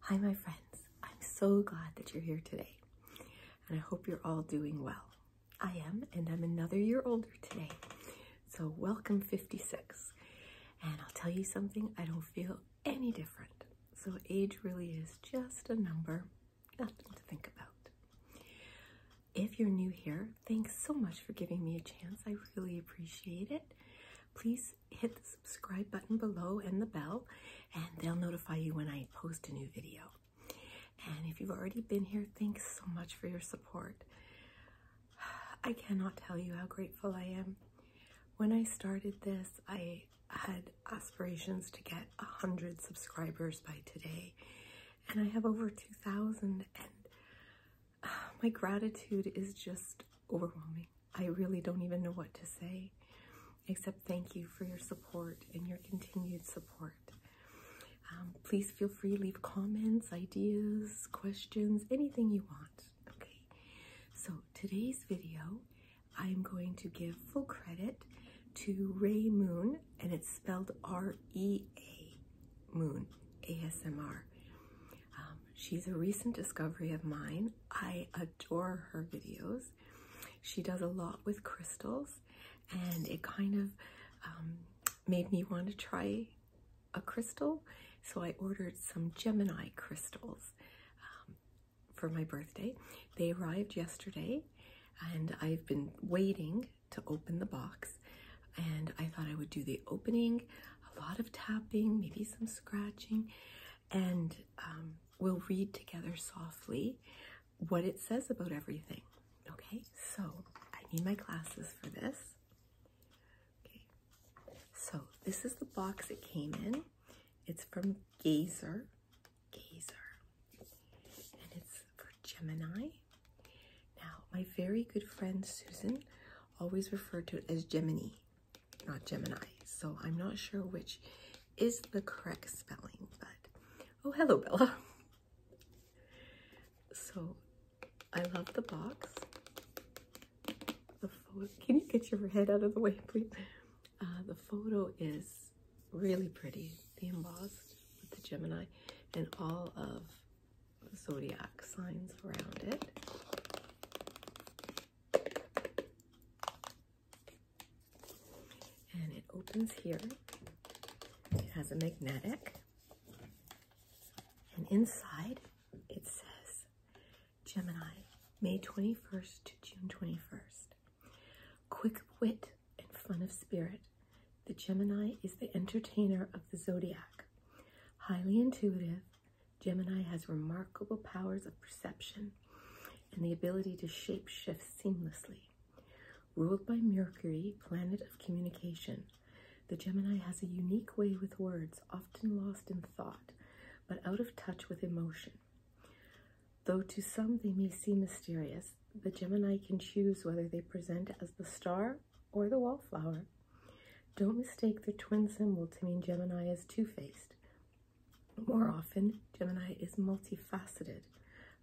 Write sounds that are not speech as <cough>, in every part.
Hi, my friends. I'm so glad that you're here today, and I hope you're all doing well. I am, and I'm another year older today. So, welcome 56. And I'll tell you something, I don't feel any different. So, age really is just a number, nothing to think about. If you're new here, thanks so much for giving me a chance. I really appreciate it. Please hit the subscribe button below and the bell, and they'll notify you when I post a new video. And if you've already been here, thanks so much for your support. <sighs> I cannot tell you how grateful I am. When I started this, I had aspirations to get 100 subscribers by today, and I have over 2,000, and <sighs> my gratitude is just overwhelming. I really don't even know what to say except thank you for your support and your continued support. Um, please feel free to leave comments, ideas, questions, anything you want. Okay, so today's video, I'm going to give full credit to Ray Moon, and it's spelled R E A Moon ASMR. Um, she's a recent discovery of mine. I adore her videos. She does a lot with crystals, and it kind of um, made me want to try a crystal. So I ordered some Gemini crystals um, for my birthday. They arrived yesterday, and I've been waiting to open the box. And I thought I would do the opening, a lot of tapping, maybe some scratching, and um, we'll read together softly what it says about everything. Okay, so I need my glasses for this. Okay, so this is the box it came in. It's from Gazer, Gazer, and it's for Gemini. Now, my very good friend Susan always referred to it as Gemini not Gemini. So I'm not sure which is the correct spelling, but oh, hello, Bella. So I love the box. The photo, can you get your head out of the way, please? Uh, the photo is really pretty. The embossed with the Gemini and all of the zodiac signs around it. And it opens here. It has a magnetic. And inside it says Gemini, May 21st to June 21st. Quick wit and fun of spirit, the Gemini is the entertainer of the zodiac. Highly intuitive, Gemini has remarkable powers of perception and the ability to shape shift seamlessly. Ruled by Mercury, planet of communication, the Gemini has a unique way with words, often lost in thought, but out of touch with emotion. Though to some they may seem mysterious, the Gemini can choose whether they present as the star or the wallflower. Don't mistake the twin symbol to mean Gemini is two-faced. More often, Gemini is multifaceted,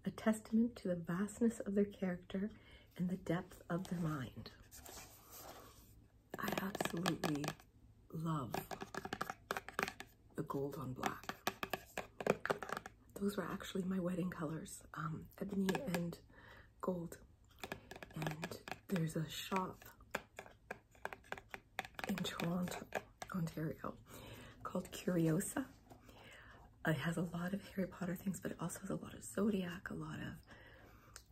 a testament to the vastness of their character and the depth of their mind. I absolutely love the gold on black. Those were actually my wedding colors, um, ebony and gold. And there's a shop in Toronto, Ontario, called Curiosa. It has a lot of Harry Potter things, but it also has a lot of Zodiac, a lot of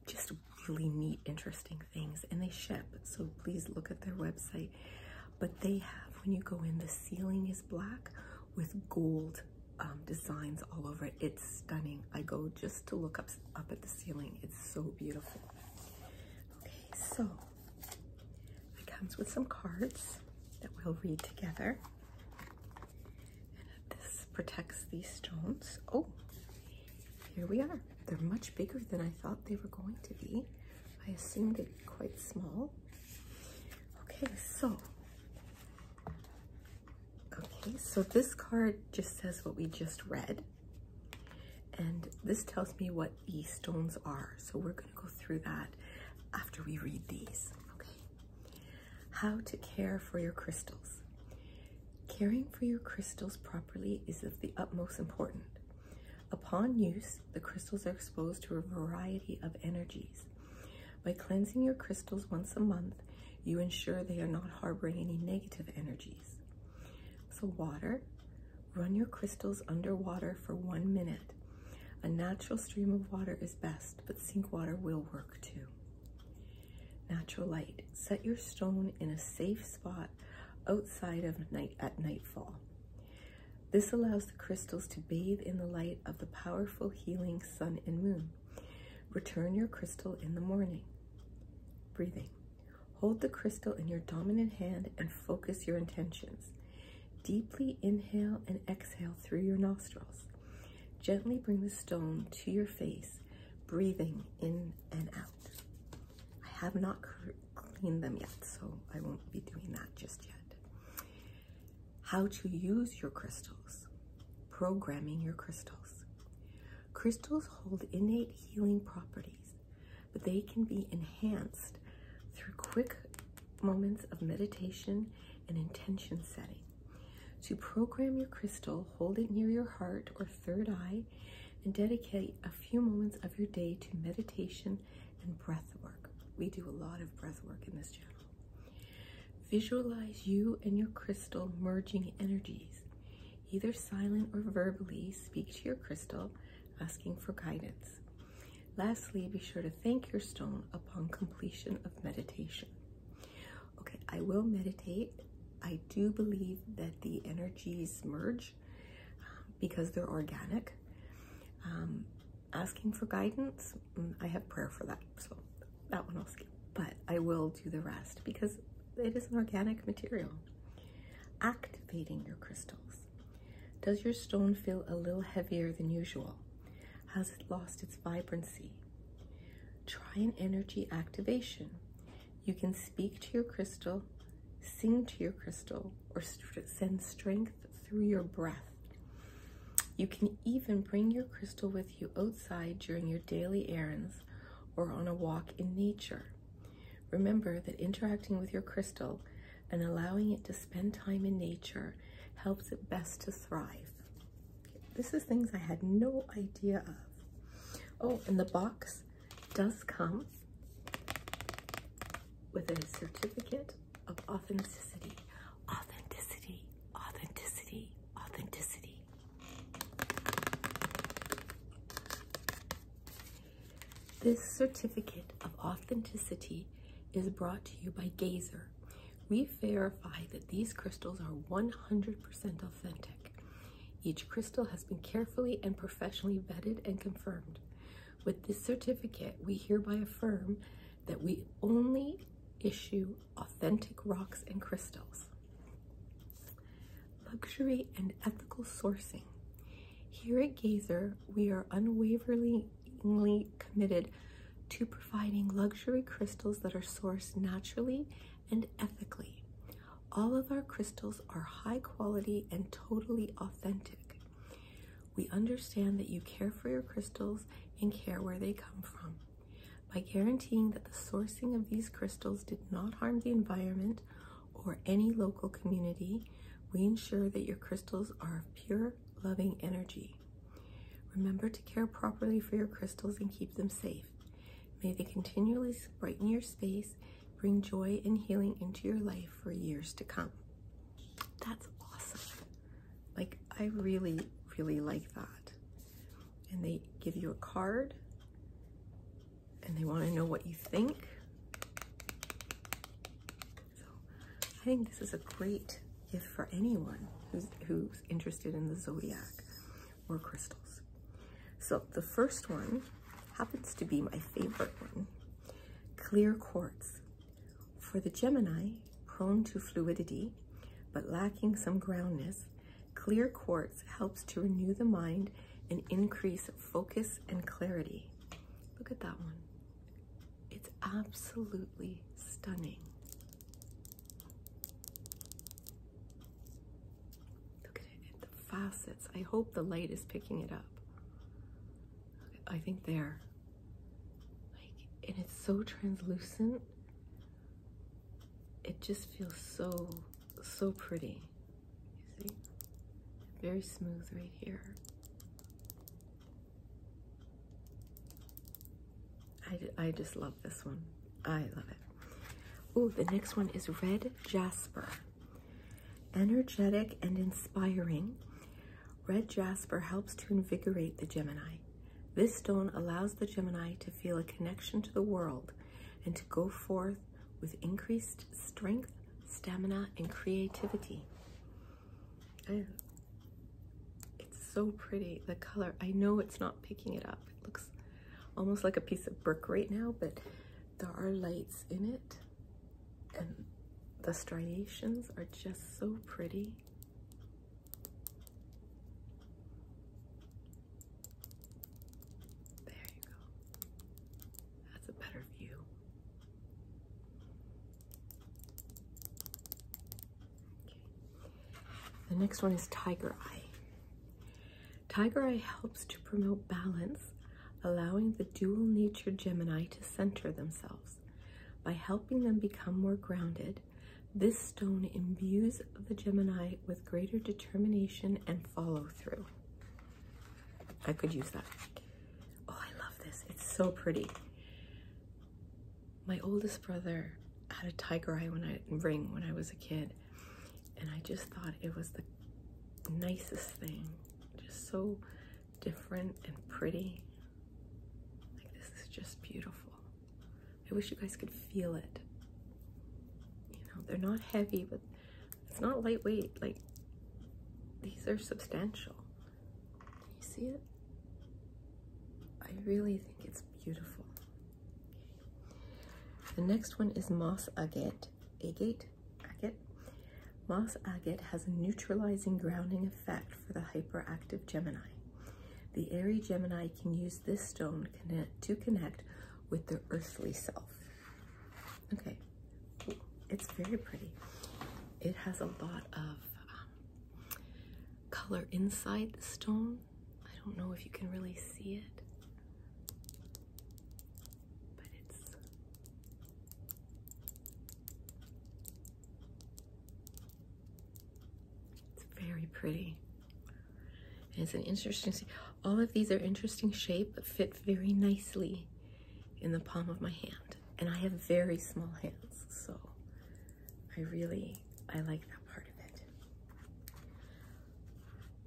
just really neat, interesting things. And they ship, so please look at their website. But they have, when you go in, the ceiling is black with gold um, designs all over It's stunning. I go just to look up, up at the ceiling. It's so beautiful. Okay, so it comes with some cards that we'll read together. this protects these stones. Oh, here we are. They're much bigger than I thought they were going to be. I assumed they'd be quite small. Okay, so Okay, so this card just says what we just read. And this tells me what these stones are. So we're going to go through that after we read these. Okay. How to care for your crystals. Caring for your crystals properly is of the utmost importance. Upon use, the crystals are exposed to a variety of energies. By cleansing your crystals once a month, you ensure they are not harboring any negative energies. So, water. Run your crystals underwater for one minute. A natural stream of water is best, but sink water will work too. Natural light. Set your stone in a safe spot outside of night at nightfall. This allows the crystals to bathe in the light of the powerful healing sun and moon. Return your crystal in the morning. Breathing. Hold the crystal in your dominant hand and focus your intentions. Deeply inhale and exhale through your nostrils. Gently bring the stone to your face, breathing in and out. I have not cleaned them yet, so I won't be doing that just yet. How to use your crystals. Programming your crystals. Crystals hold innate healing properties, but they can be enhanced through quick moments of meditation and intention setting. To program your crystal, hold it near your heart or third eye and dedicate a few moments of your day to meditation and breath work. We do a lot of breath work in this channel. Visualize you and your crystal merging energies either silent or verbally speak to your crystal asking for guidance. Lastly, be sure to thank your stone upon completion of meditation. Okay, I will meditate. I do believe that the energies merge um, because they're organic. Um, asking for guidance, mm, I have prayer for that, so that one I'll skip. But I will do the rest because it is an organic material. Activating your crystals. Does your stone feel a little heavier than usual? Has it lost its vibrancy? Try an energy activation. You can speak to your crystal, sing to your crystal, or send strength through your breath. You can even bring your crystal with you outside during your daily errands or on a walk in nature. Remember that interacting with your crystal and allowing it to spend time in nature helps it best to thrive. This is things I had no idea of. Oh, and the box does come with a certificate of authenticity. Authenticity, authenticity, authenticity. This certificate of authenticity is brought to you by Gazer. We verify that these crystals are 100% authentic. Each crystal has been carefully and professionally vetted and confirmed. With this certificate, we hereby affirm that we only issue authentic rocks and crystals. Luxury and ethical sourcing. Here at Gazer, we are unwaveringly committed to providing luxury crystals that are sourced naturally and ethically. All of our crystals are high quality and totally authentic. We understand that you care for your crystals and care where they come from. By guaranteeing that the sourcing of these crystals did not harm the environment or any local community, we ensure that your crystals are of pure, loving energy. Remember to care properly for your crystals and keep them safe. May they continually brighten your space, bring joy and healing into your life for years to come. That's awesome. Like, I really, really like that. And they give you a card and they want to know what you think. So I think this is a great gift for anyone who's, who's interested in the zodiac or crystals. So the first one happens to be my favorite one, clear quartz. For the Gemini, prone to fluidity, but lacking some groundness, Clear quartz helps to renew the mind and increase focus and clarity. Look at that one. It's absolutely stunning. Look at it, the facets. I hope the light is picking it up. I think there. Like, and it's so translucent. It just feels so so pretty. You see? Very smooth right here. I, I just love this one. I love it. Ooh, the next one is Red Jasper. Energetic and inspiring, Red Jasper helps to invigorate the Gemini. This stone allows the Gemini to feel a connection to the world and to go forth with increased strength, stamina, and creativity. it's so pretty, the color. I know it's not picking it up. It looks almost like a piece of brick right now, but there are lights in it and the striations are just so pretty. There you go. That's a better view. Okay. The next one is Tiger Eye. Tiger Eye helps to promote balance, allowing the dual nature Gemini to center themselves. By helping them become more grounded, this stone imbues the Gemini with greater determination and follow through. I could use that. Oh, I love this. It's so pretty. My oldest brother had a tiger eye ring when I was a kid, and I just thought it was the nicest thing. Just so different and pretty. Like this is just beautiful. I wish you guys could feel it. You know, they're not heavy, but it's not lightweight. Like, these are substantial. You see it? I really think it's beautiful. The next one is Moss Agate. Agate? Agate? Moss Agate has a neutralizing grounding effect for the hyperactive Gemini. The airy Gemini can use this stone to connect with their earthly self. Okay, it's very pretty. It has a lot of um, color inside the stone. I don't know if you can really see it, but It's very pretty it's an interesting, all of these are interesting shape, but fit very nicely in the palm of my hand. And I have very small hands, so I really, I like that part of it.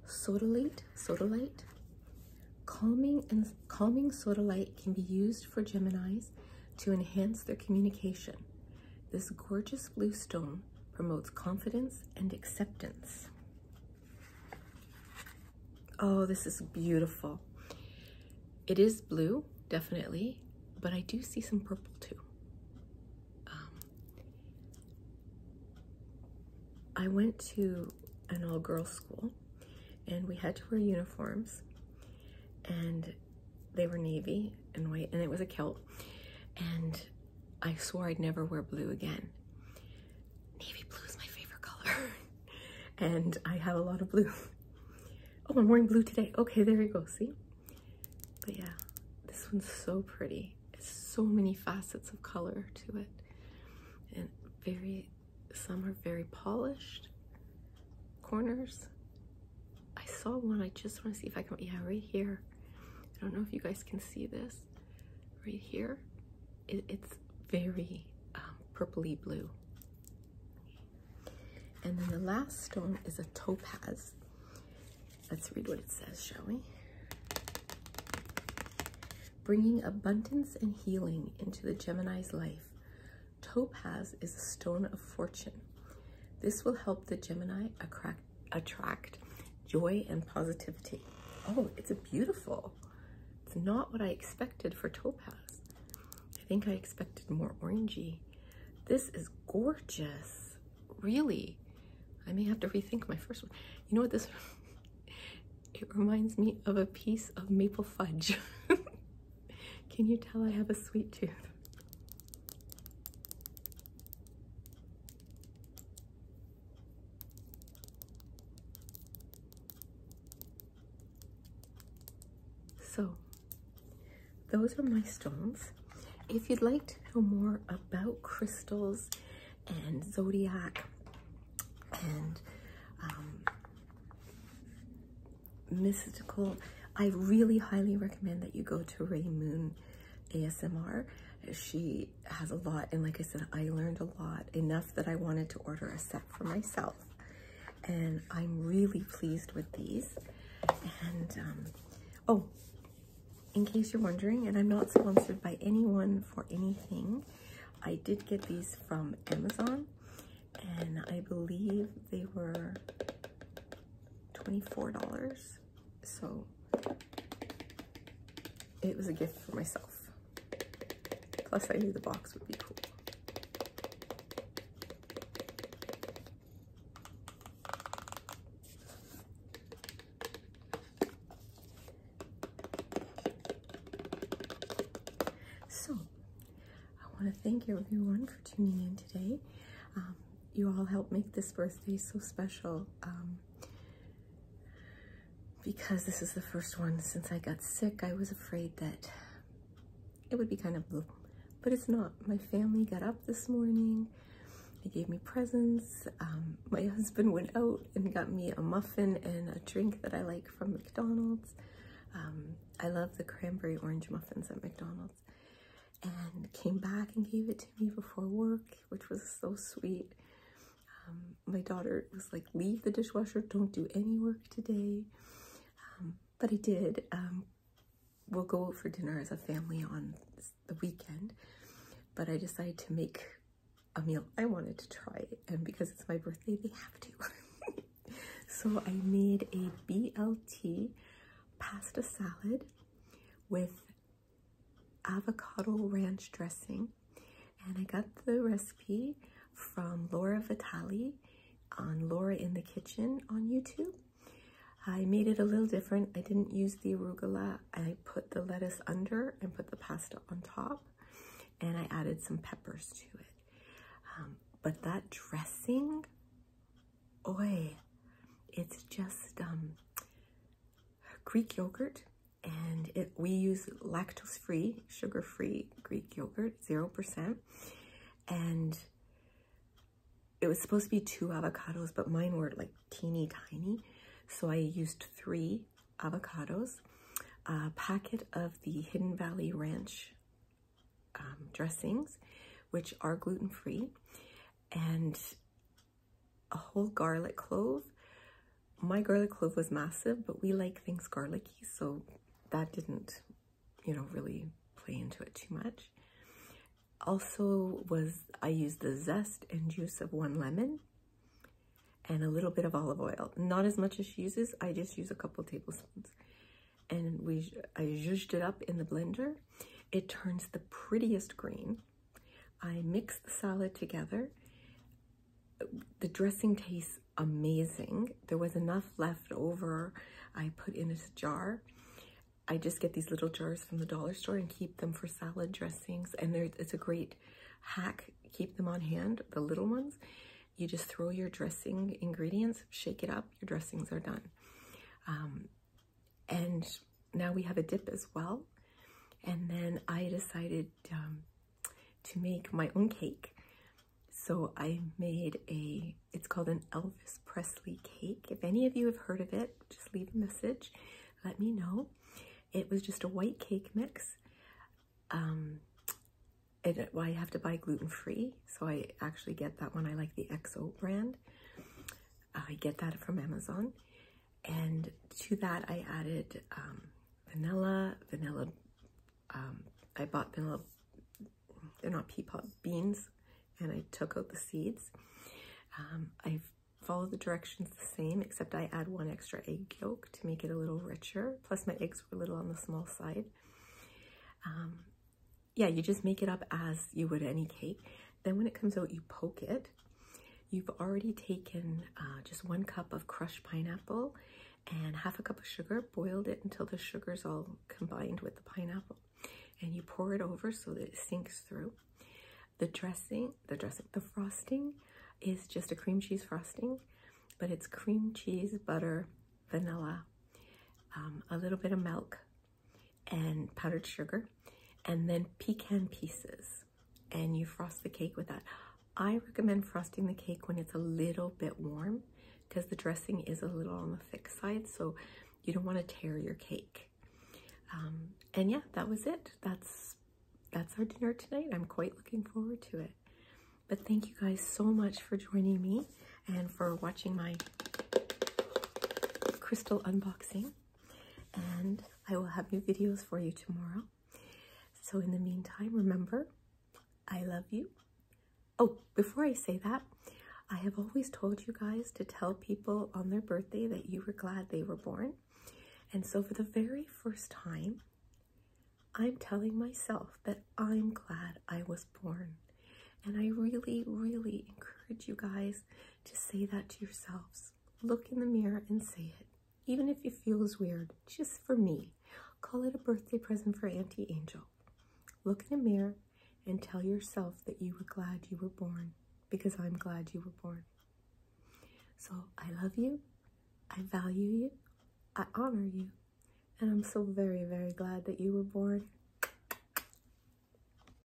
Sodalite, sodalite. Calming and calming sodalite can be used for Geminis to enhance their communication. This gorgeous blue stone promotes confidence and acceptance. Oh, this is beautiful. It is blue, definitely, but I do see some purple too. Um, I went to an all-girls school and we had to wear uniforms and they were navy and white and it was a kilt and I swore I'd never wear blue again. Navy blue is my favorite color, <laughs> and I have a lot of blue. <laughs> Oh, I'm wearing blue today. Okay, there we go. See? But yeah, this one's so pretty. It's so many facets of color to it, and very. Some are very polished corners. I saw one. I just want to see if I can. Yeah, right here. I don't know if you guys can see this right here. it's very um, purpley blue. And then the last stone is a topaz. Let's read what it says, shall we? Bringing abundance and healing into the Gemini's life, topaz is a stone of fortune. This will help the Gemini attract attract joy and positivity. Oh, it's a beautiful. It's not what I expected for topaz. I think I expected more orangey. This is gorgeous. Really. I may have to rethink my first one. You know what this <laughs> it reminds me of a piece of maple fudge. <laughs> Can you tell I have a sweet tooth? So, those are my stones. If you'd like to know more about crystals and zodiac and um, mystical, I really highly recommend that you go to Ray Moon ASMR she has a lot and like I said I learned a lot enough that I wanted to order a set for myself and I'm really pleased with these and um, oh in case you're wondering and I'm not sponsored by anyone for anything I did get these from Amazon and I believe they were $24 so it was a gift for myself. Plus I knew the box would be cool. So, I want to thank everyone for tuning in today. Um, you all helped make this birthday so special. Um, because this is the first one since I got sick, I was afraid that it would be kind of blue, but it's not. My family got up this morning. They gave me presents. Um, my <laughs> husband went out and got me a muffin and a drink that I like from McDonald's. Um, I love the cranberry orange muffins at McDonald's and came back and gave it to me before work, which was so sweet. Um, my daughter was like, Leave the dishwasher, don't do any work today. Um, but I did. Um, we'll go out for dinner as a family on the weekend, but I decided to make a meal. I wanted to try and because it's my birthday, they have to. <laughs> so I made a BLT pasta salad with avocado ranch dressing. And I got the recipe from Laura Vitale on Laura in the Kitchen on YouTube. I made it a little different. I didn't use the arugula. I put the lettuce under and put the pasta on top. And I added some peppers to it. Um, but that dressing, oi, it's just um, Greek yogurt, and we use lactose-free, sugar-free Greek yogurt, 0%. And it was supposed to be two avocados, but mine were like teeny tiny. So I used three avocados, a packet of the Hidden Valley Ranch um, dressings, which are gluten-free, and a whole garlic clove. My garlic clove was massive, but we like things garlicky, so that didn't, you know, really play into it too much. Also was, I used the zest and juice of one lemon and a little bit of olive oil. Not as much as she uses, I just use a couple tablespoons. And we, I zhuzhed it up in the blender. It turns the prettiest green. I mix the salad together. The dressing tastes amazing. There was enough left over. I put in a jar. I just get these little jars from the dollar store and keep them for salad dressings. And it's a great hack. Keep them on hand, the little ones. You just throw your dressing ingredients, shake it up, your dressings are done. Um, and now we have a dip as well. And then I decided um, to make my own cake. So I made a, it's called an Elvis Presley cake. If any of you have heard of it, just leave a message, let me know. It was just a white cake mix. Um, it, well, I have to buy gluten-free, so I actually get that one. I like the XO brand. I get that from Amazon. And to that, I added um, vanilla, vanilla. Um, I bought vanilla, they're not pea pod beans, and I took out the seeds. Um, I followed the directions the same, except I add one extra egg yolk to make it a little richer. Plus, my eggs were a little on the small side. yeah, you just make it up as you would any cake. Then when it comes out, you poke it. You've already taken uh, just one cup of crushed pineapple and half a cup of sugar, boiled it until the sugar's all combined with the pineapple. And you pour it over so that it sinks through. The dressing, the dressing, the frosting is just a cream cheese frosting, but it's cream cheese, butter, vanilla, um, a little bit of milk, and powdered sugar and then pecan pieces and you frost the cake with that. I recommend frosting the cake when it's a little bit warm because the dressing is a little on the thick side so you don't want to tear your cake. Um, and yeah, that was it. That's that's our dinner tonight. I'm quite looking forward to it. But thank you guys so much for joining me and for watching my crystal unboxing and I will have new videos for you tomorrow. So, in the meantime, remember, I love you. Oh, before I say that, I have always told you guys to tell people on their birthday that you were glad they were born. And so, for the very first time, I'm telling myself that I'm glad I was born. And I really, really encourage you guys to say that to yourselves. Look in the mirror and say it. Even if it feels weird, just for me, call it a birthday present for Auntie Angel. Look in a mirror and tell yourself that you were glad you were born because I'm glad you were born. So I love you, I value you, I honor you, and I'm so very, very glad that you were born.